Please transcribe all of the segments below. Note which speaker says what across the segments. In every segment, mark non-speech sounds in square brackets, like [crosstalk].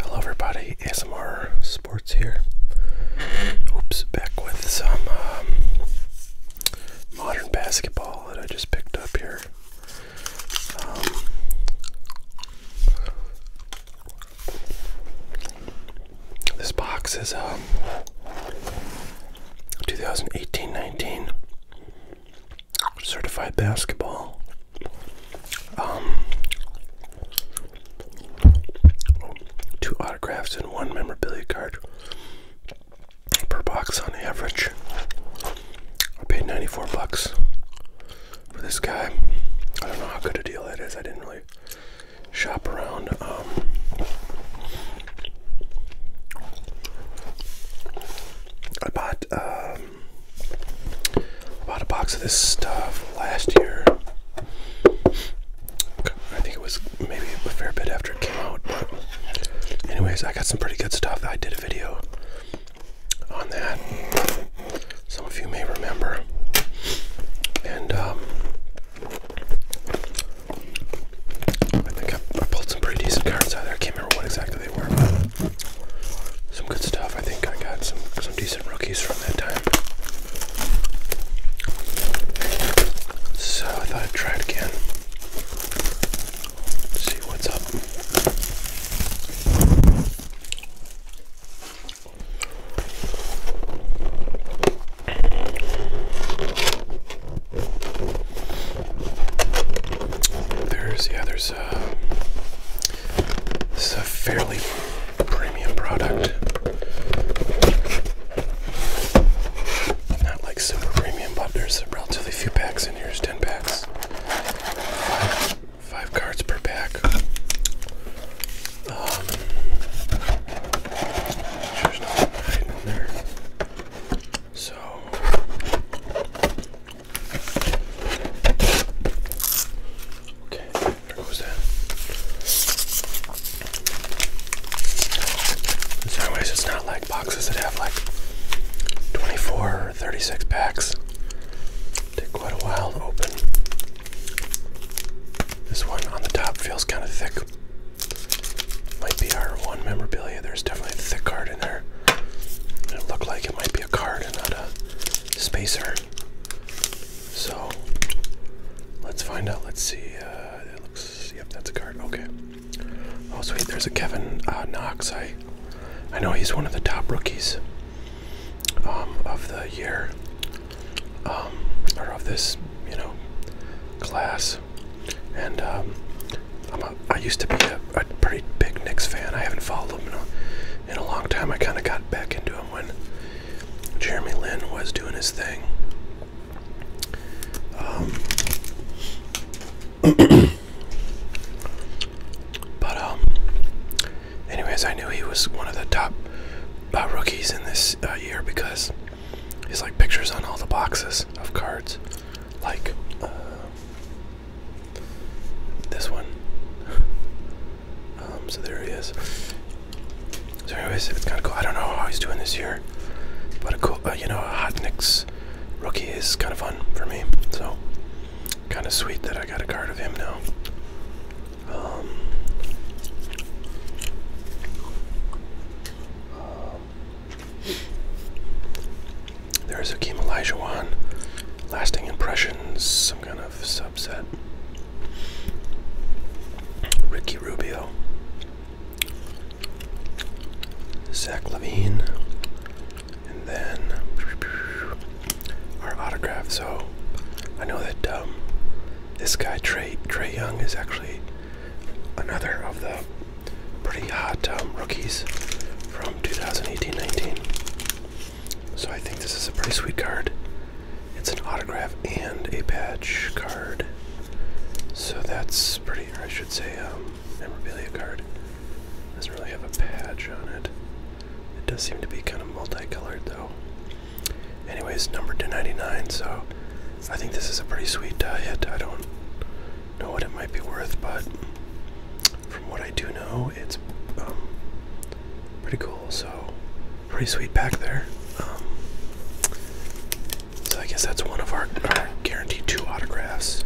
Speaker 1: Hello, everybody. ASMR Sports here. Oops, back with some um, modern basketball that I just picked up here. Um, this box is 2018-19 um, certified basketball. Um, two autographs and one memorabilia card per box on average. I paid 94 bucks for this guy. I don't know how good a deal that is. I didn't really shop around. Um, I bought uh, uh, bought a box of this stuff last year. I think it was maybe a fair bit after it came out. But anyways, I got some pretty good stuff. I did a video on that. Some of you may remember. And um, I think I, I pulled some pretty decent cards out of there. I can't remember what exactly some good stuff. I think I got some some decent rookies from that time. So I thought I'd try it again. See what's up. There's yeah, there's uh, a fairly premium product. Not like super premium, but there's relatively few packs in here. ten packs, five, cards per pack. Um, there's nothing hiding there. So Okay, there goes that. In some ways, it's not like boxes that have like 24 or 36 packs. Take quite a while to open. This one on the top feels kind of thick. Might be our one memorabilia. There's definitely thick card. It looked like it might be a card and not a spacer. So let's find out. Let's see. Uh, it looks. Yep, that's a card. Okay. Oh sweet, there's a Kevin uh, Knox. I, I know he's one of the top rookies um, of the year, um, or of this, you know, class and um, i used to be a, pretty big Knicks fan. I haven't followed them in a, long time. I kind of got back into them when Jeremy Lin was doing his thing. Um, [coughs] but um, anyways, I knew he was one of the top uh, rookies in this uh, year because. He's like pictures on all the boxes of cards, like uh, this one. [laughs] Um, so there he is. So anyways, it's kind of cool. I don't know how he's doing this year, but a cool, uh, you know, a hot Knicks rookie is kind of fun for me. So kind of sweet that I got a card of him now. Um, um, there is Akeem Olajuwon. Lasting Impressions, some kind of subset. Ricky Rubio. Zach Levine. And then our autograph. So I know that um, this guy, Trey, Trey Young, is actually another of the pretty hot um, rookies from 2018-19. So I think this is a pretty sweet card. It's an autograph and a patch card. So that's pretty, or I should say, um, memorabilia card. Doesn't really have a patch on it. It does seem to be kind of multicolored though. Anyways, number 299. So I think this is a pretty sweet uh, I don't know what it might be worth, but from what I do know, it's um, pretty cool. So, pretty sweet back there. Um, so I guess that's one of our, guaranteed two autographs.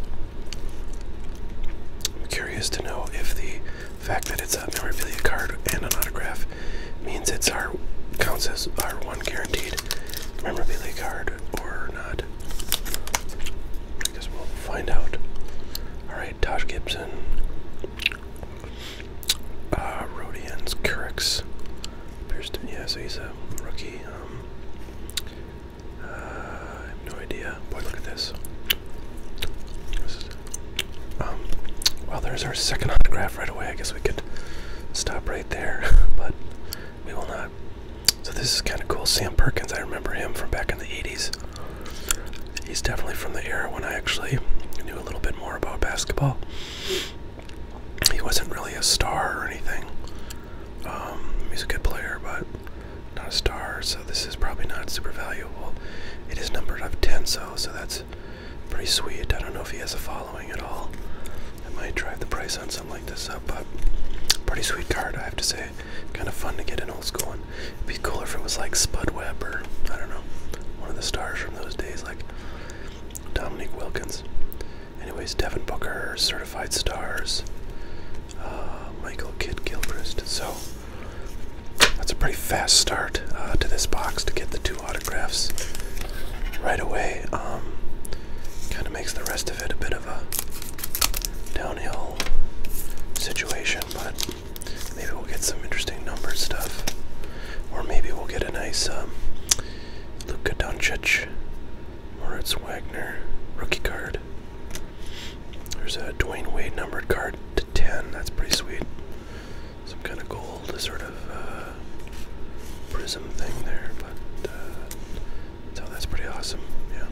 Speaker 1: curious to know if the fact that it's a memorabilia card and an autograph means it's our counts as our one guaranteed memorabilia card or I guess we'll find out. Alright, Tosh Gibson. Uh, Rodians, Pearson, yeah, so he's a rookie. Um, uh, I have no idea. Boy, look at this. Um, well, there's our second autograph right away. I guess we could stop right there, [laughs] but we will not. So this is kind of cool. Sam Perkins, I remember him from back in the 80s. He's definitely from the era when I actually knew a little bit more about basketball. He wasn't really a star or anything. Um, he's a good player, but not a star, so this is probably not super valuable. It is numbered up 10, so, so that's pretty sweet. I don't know if he has a following at all. That might drive the price on some this up, but pretty sweet card, I have to say. Kind of fun to get an old school one. It'd be cooler if it was like Spud Webb or I don't know, one of the stars from those days, like Dominique Wilkins. Anyways, Devin Booker, certified stars, uh, Michael Kidd Gilchrist. So that's a pretty fast start uh, to this box to get the two autographs right away. Um, kind of makes the rest of of a bit of a downhill situation, but maybe we'll get some interesting number stuff. Or maybe we'll get a nice um, Luka or it's Wagner rookie card. There's a Dwayne Wade numbered card to 10. That's pretty sweet. Some kind of gold sort of uh, prism thing there, but uh, so that's pretty awesome. Yeah.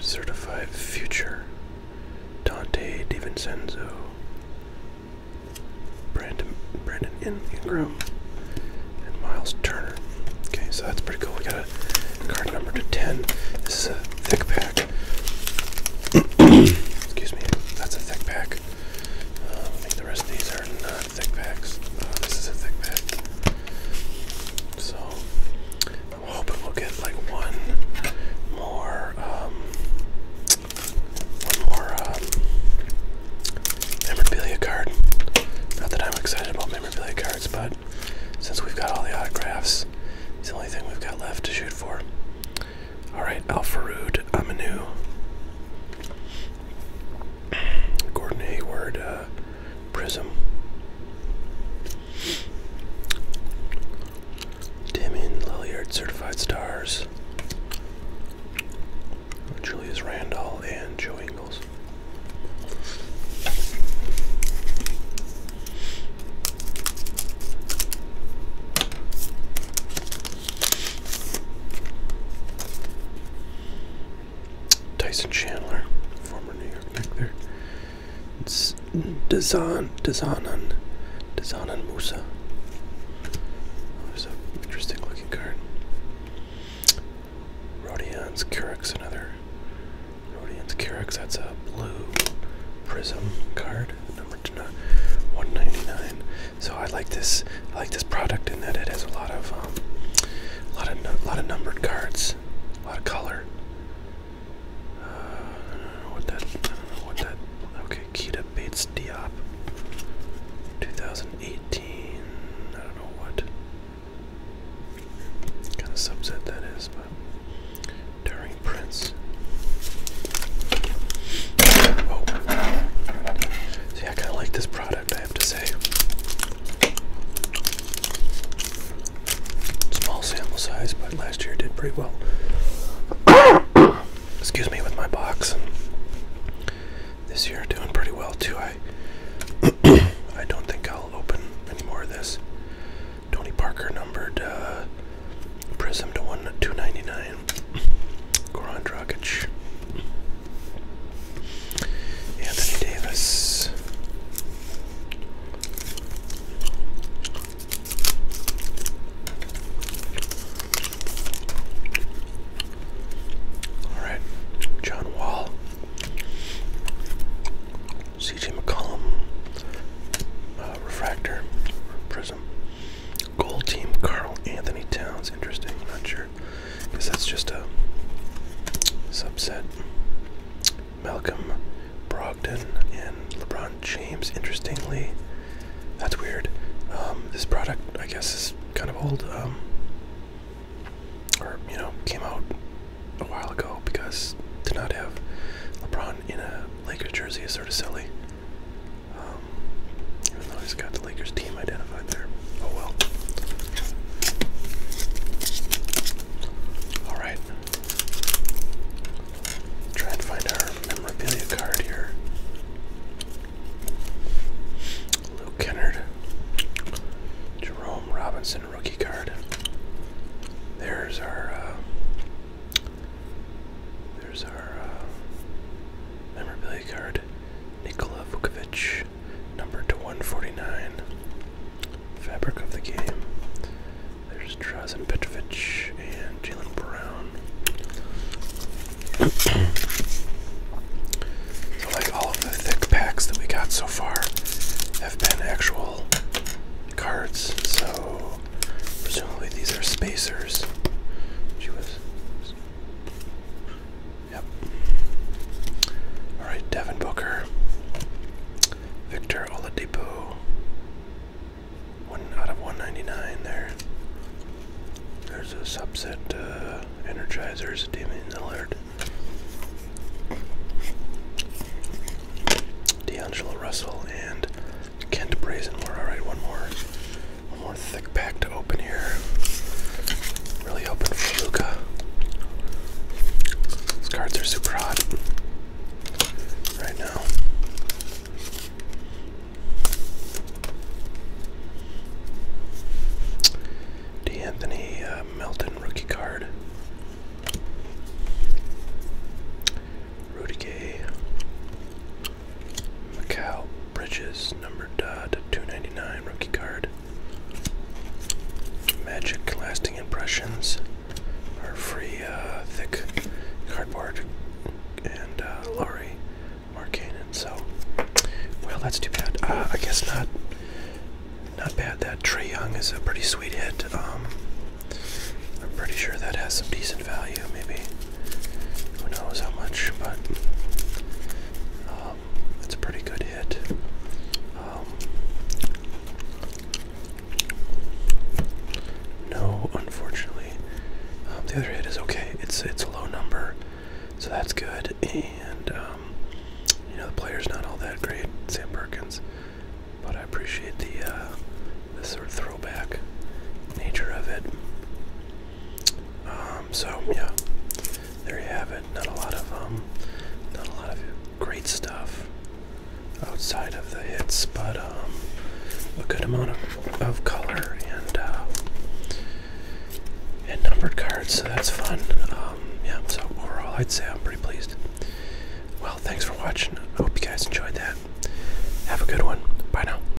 Speaker 1: Certified future. Dante DiVincenzo. Brandon Brandon In Ingram. And Miles Turner. Okay, so that's pretty cool. We got a card number to 10. This is a thick pack. [coughs] Excuse me. That's a thick pack. Uh, the rest of these are not thick packs. Uh, this is a thick pack. So I'm hoping we'll get like one more, um, one more um, memorabilia card. Not that I'm excited about memorabilia cards, but since we've got all the autographs, it's the only thing we've got left to shoot for. All right, Al a new. Gordon Hayward uh, Prism. Damien Lilliard Certified Stars. Julius Randall and Joe Ingles. Tyson Chandler, former New York Knick there. It's Dazan, Dazanan, Dazanan Musa. Oh, there's an interesting looking card. Rodian's Curix, another. Rodian's Curix, that's a blue prism card, number 199. So I like this. I like this product in that it has a lot of, um, lot of, lot of numbered cards, a lot of color. I don't know what that. I don't know what that. Okay, Keita Bates Diop, 2018. I don't know what kind of subset that is, but. Daring Prince. Oh. See, I kind of like this product have to say. Small sample size, but last year did pretty well. Excuse me with my box. This year doing pretty well too. I [coughs] I don't think I'll open any more of this. Tony Parker numbered uh, Prism to one two ninety nine. Goran Dragic. Anthony Davis. All right, John Wall, C.J. McCollum, uh, refractor, prism, Gold team Carl Anthony Towns. Interesting. Not sure. Because that's just a subset. Malcolm Brogdon and LeBron James. Interestingly, that's weird. Um, this product, I guess, is kind of old. Um, or, you know, came out a while ago because to not have LeBron in a Lakers jersey is sort of silly. Um, even though he's got the Lakers team identified there. Oh well. Alright. Try and find our memorabilia card here. Luke Kennard. Jerome Robinson rookie card. There's our uh, there's our uh, display Nikola Vukovic, number to 149. Fabric of the game. There's Drazen Petrovic and Jalen Brown. [clears throat] so, like, all of the thick packs that we got so far have been actual cards, so presumably these are spacers. She Yep. All right, Devin Booker, Victor Oladipo, one out of 199 there. There's a subset uh, Energizers, Damian Lillard, D'Angelo Russell, and Kent Brazen. All right, one more. One more thick pack to open here. Really open for Luca. These cards are super hot right now. D'Anthony uh, Melton rookie card. Rudy Gay. Macau Bridges, number 299, rookie card. Magic Lasting Impressions, our free uh, thick cardboard, and uh, Laurie Markanen. So, well, that's too bad. Uh, I guess not. Not bad. That Trey Young is a pretty sweet hit. Um, I'm pretty sure that has some decent value maybe. Who knows how much, but that's um, a pretty good hit. Um, no, unfortunately, um, the other hit is okay. It's it's a low number, so that's good. And um, you know the player's not all that great, Sam Perkins, but I appreciate the uh, the sort of throwback nature of it. Um, so yeah, there you have it. Not a lot of um, not a lot of great stuff outside of the hits, but um, a good amount of, of color and uh, and numbered cards. So that's fun. Um, yeah. So overall, I'd say I'm pretty pleased. Well, thanks for watching. I hope you guys enjoyed that. Have a good one. Bye now.